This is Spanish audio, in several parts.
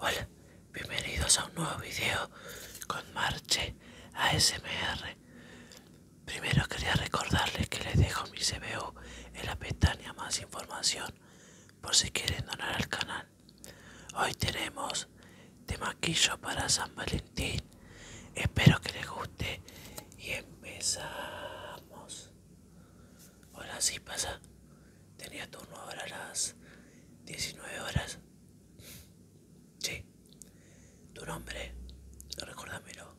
Hola, bienvenidos a un nuevo vídeo con Marche ASMR. Primero quería recordarles que les dejo mi CBU en la pestaña más información por si quieren donar al canal. Hoy tenemos de maquillo para San Valentín. Espero que les guste y empezamos. Hola, sí pasa. Tenía turno ahora a las 19 horas. Sí. Tu nombre, recordámelo.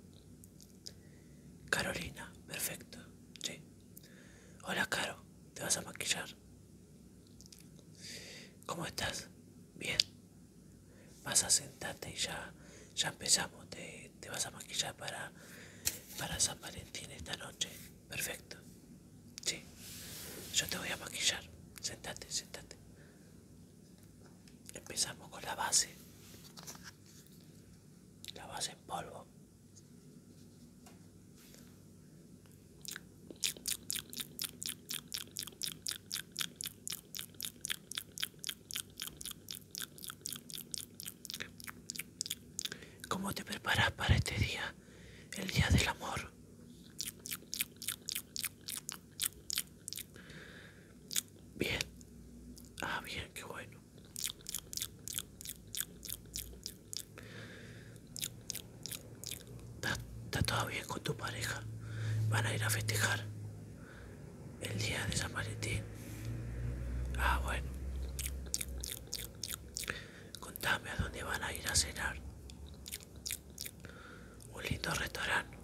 Carolina, perfecto. Sí. Hola, Caro. ¿Te vas a maquillar? ¿Cómo estás? Bien. Vas a sentarte y ya, ya empezamos. Te te vas a maquillar para, para San Valentín esta noche. Perfecto. Sí. Yo te voy a maquillar. Sentate, sentate. Empezamos con la base. La base en polvo. ¿Cómo te preparas para este día? El día del amor. Bien. Ah, bien, qué bueno. ¿Está todo bien con tu pareja? ¿Van a ir a festejar? el día de San Ah, bueno. Contame a dónde van a ir a cenar. Un lindo restaurante.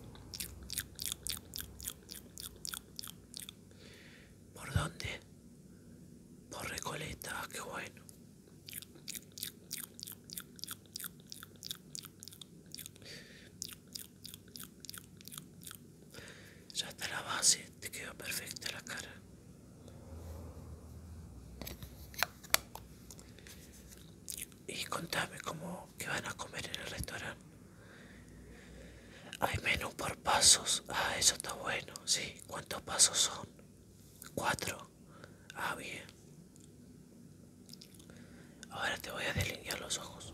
¿Por dónde? Por Recoleta, ah, qué bueno. Ya está la base, te quedó perfecta la cara. Y contame cómo que van a comer en el restaurante. Hay menú por pasos. Ah, eso está bueno. Sí, ¿cuántos pasos son? Cuatro. Ah, bien. Ahora te voy a delinear los ojos.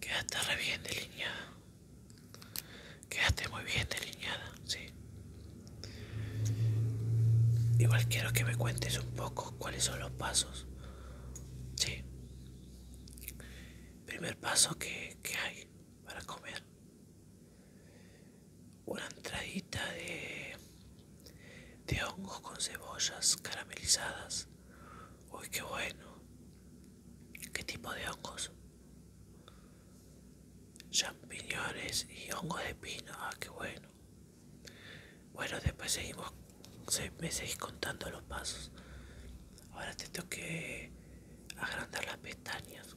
Quedaste re bien delineada. Quedaste muy bien delineada, sí. Igual quiero que me cuentes un poco cuáles son los pasos. Sí. Primer paso que, que hay para comer. Una entradita de de hongos con cebollas caramelizadas. Uy, qué bueno. ¿Qué tipo de hongos? Champiñones y hongos de pino. Ah, qué bueno. Bueno, después seguimos, me seguís contando los pasos. Ahora te tengo que agrandar las pestañas.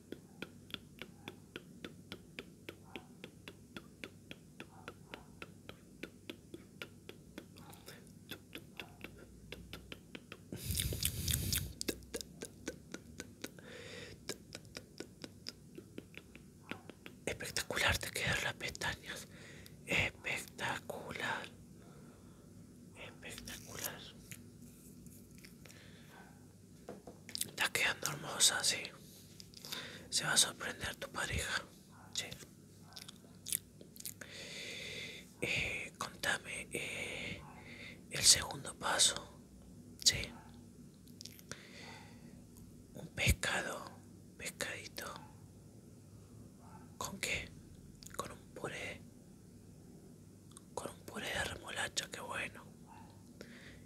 Espectacular te quedaron las pestañas. Espectacular. Espectacular. Estás quedando hermosa, sí. Se va a sorprender tu pareja, sí. Eh, contame eh, el segundo paso, sí. Un pescado, pescadito. ¿Con qué? Con un puré con un puré de remolacha, que bueno.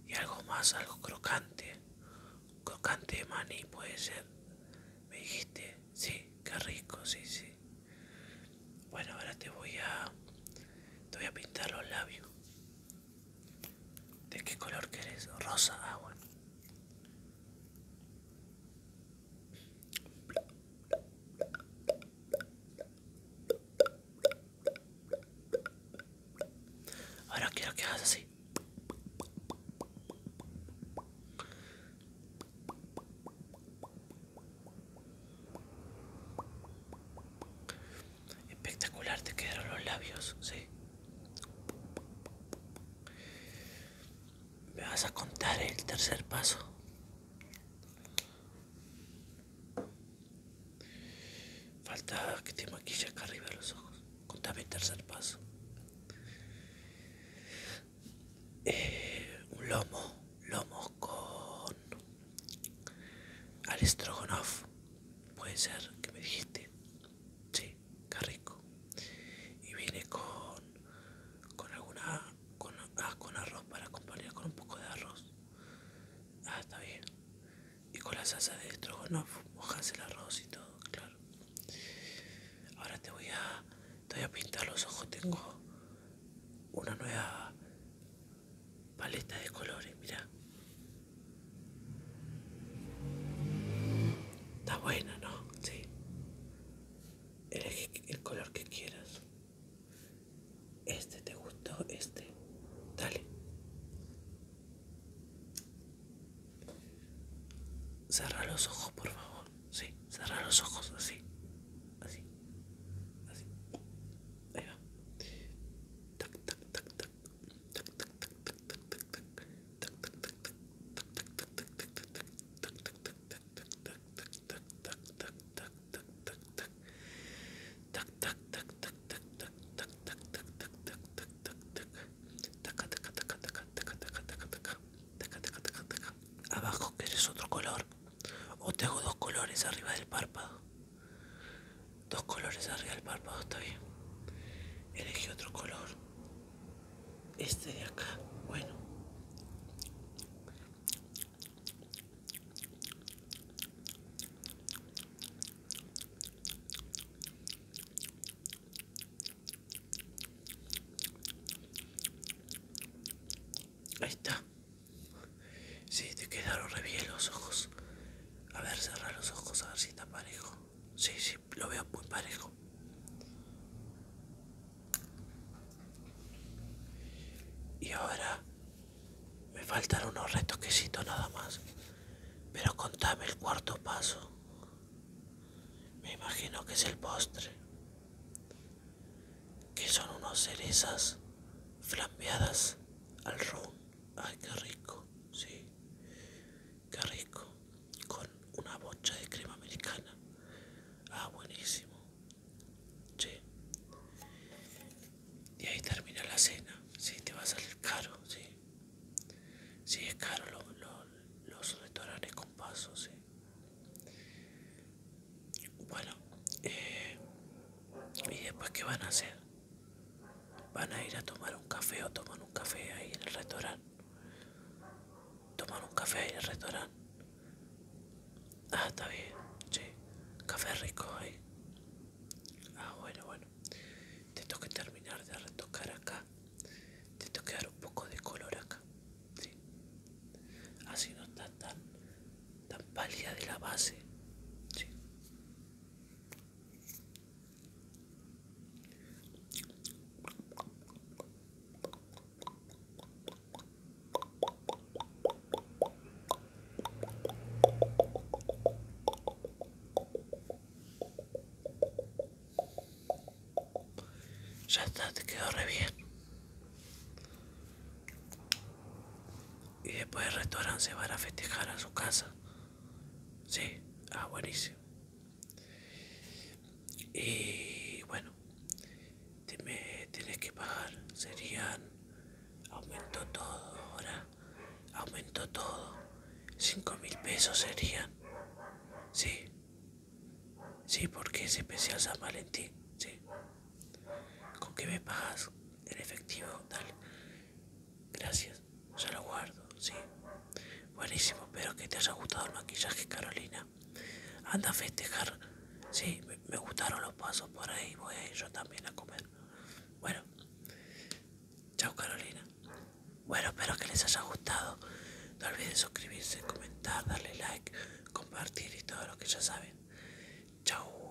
Y algo más, algo crocante. Crocante de maní puede ser. Me dijiste, sí, qué rico, sí, sí. Bueno, ahora te voy a te voy a pintar los labios. ¿De qué color querés? Rosa, agua ah, Ahora quiero que hagas así. Espectacular te quedaron los labios, sí. Me vas a contar el tercer paso. Falta que te maquille acá arriba los ojos. Contame el tercer paso. Eh, un lomo, lomo con al Puede ser que me dijiste. Sí, qué rico. Y viene con, con alguna con, ah, con arroz para acompañar con un poco de arroz. Ah, está bien. Y con la salsa de no mojas el arroz y todo, claro. Ahora te voy a, te voy a pintar los ojos. Tengo una nueva paleta de colores, mira. Está buena, ¿no? Sí. Elige el color que quieras. Este te gustó, este. Dale. Cerra los ojos, por favor. Sí, cerra los ojos, así. Así. Así. Ahí va. Abajo quieres otro color o tengo dos colores arriba del párpado. Dos colores arriba del párpado, está Elegí otro color este de acá bueno Ahí está. Sí, te quedaron re bien los ojos. A ver, cerrar los ojos, a ver si está parejo. Sí, sí lo veo muy parejo. Y ahora me faltan unos retoquesitos nada más. Pero contame el cuarto paso. Me imagino que es el postre. Que son unas cerezas flambeadas al ron. Ay, qué rico, sí. Qué rico con una bocha de crema americana. Ah, buenísimo. Y ahí termina la cena. si te va a salir caro, sí. es caro los restaurantes con paso, sí. Bueno, eh, ¿y después qué van a hacer? ¿Van a ir a tomar un café o toman un café ahí en el restaurante? Tomar un café en el restaurante. Ah, está bien. Sí. Café rico ahí. Ah, bueno, bueno. Te que terminar de retocar acá. Te que dar un poco de color acá. Sí. Así no está tan, tan pálida de la base. Sí. Ya está, te quedó re bien. Y después del restaurante se van a festejar a su casa. Sí, ah, buenísimo. Y bueno, te me tenés que pagar, serían, Aumento todo ahora, Aumento todo, cinco mil pesos serían, sí, sí, porque es especial San Valentín, sí. ¿Con qué me pagas? En efectivo, dale. Gracias. Ya Se lo guardo, sí. Buenísimo, espero que te haya gustado el maquillaje, Carolina. Anda a festejar. Sí, me, gustaron los pasos por ahí. Voy a ir yo también a comer. Bueno, chao, Carolina. Bueno, espero que les haya gustado. No olviden suscribirse, comentar, darle like, compartir y todo lo que ya saben. Chao.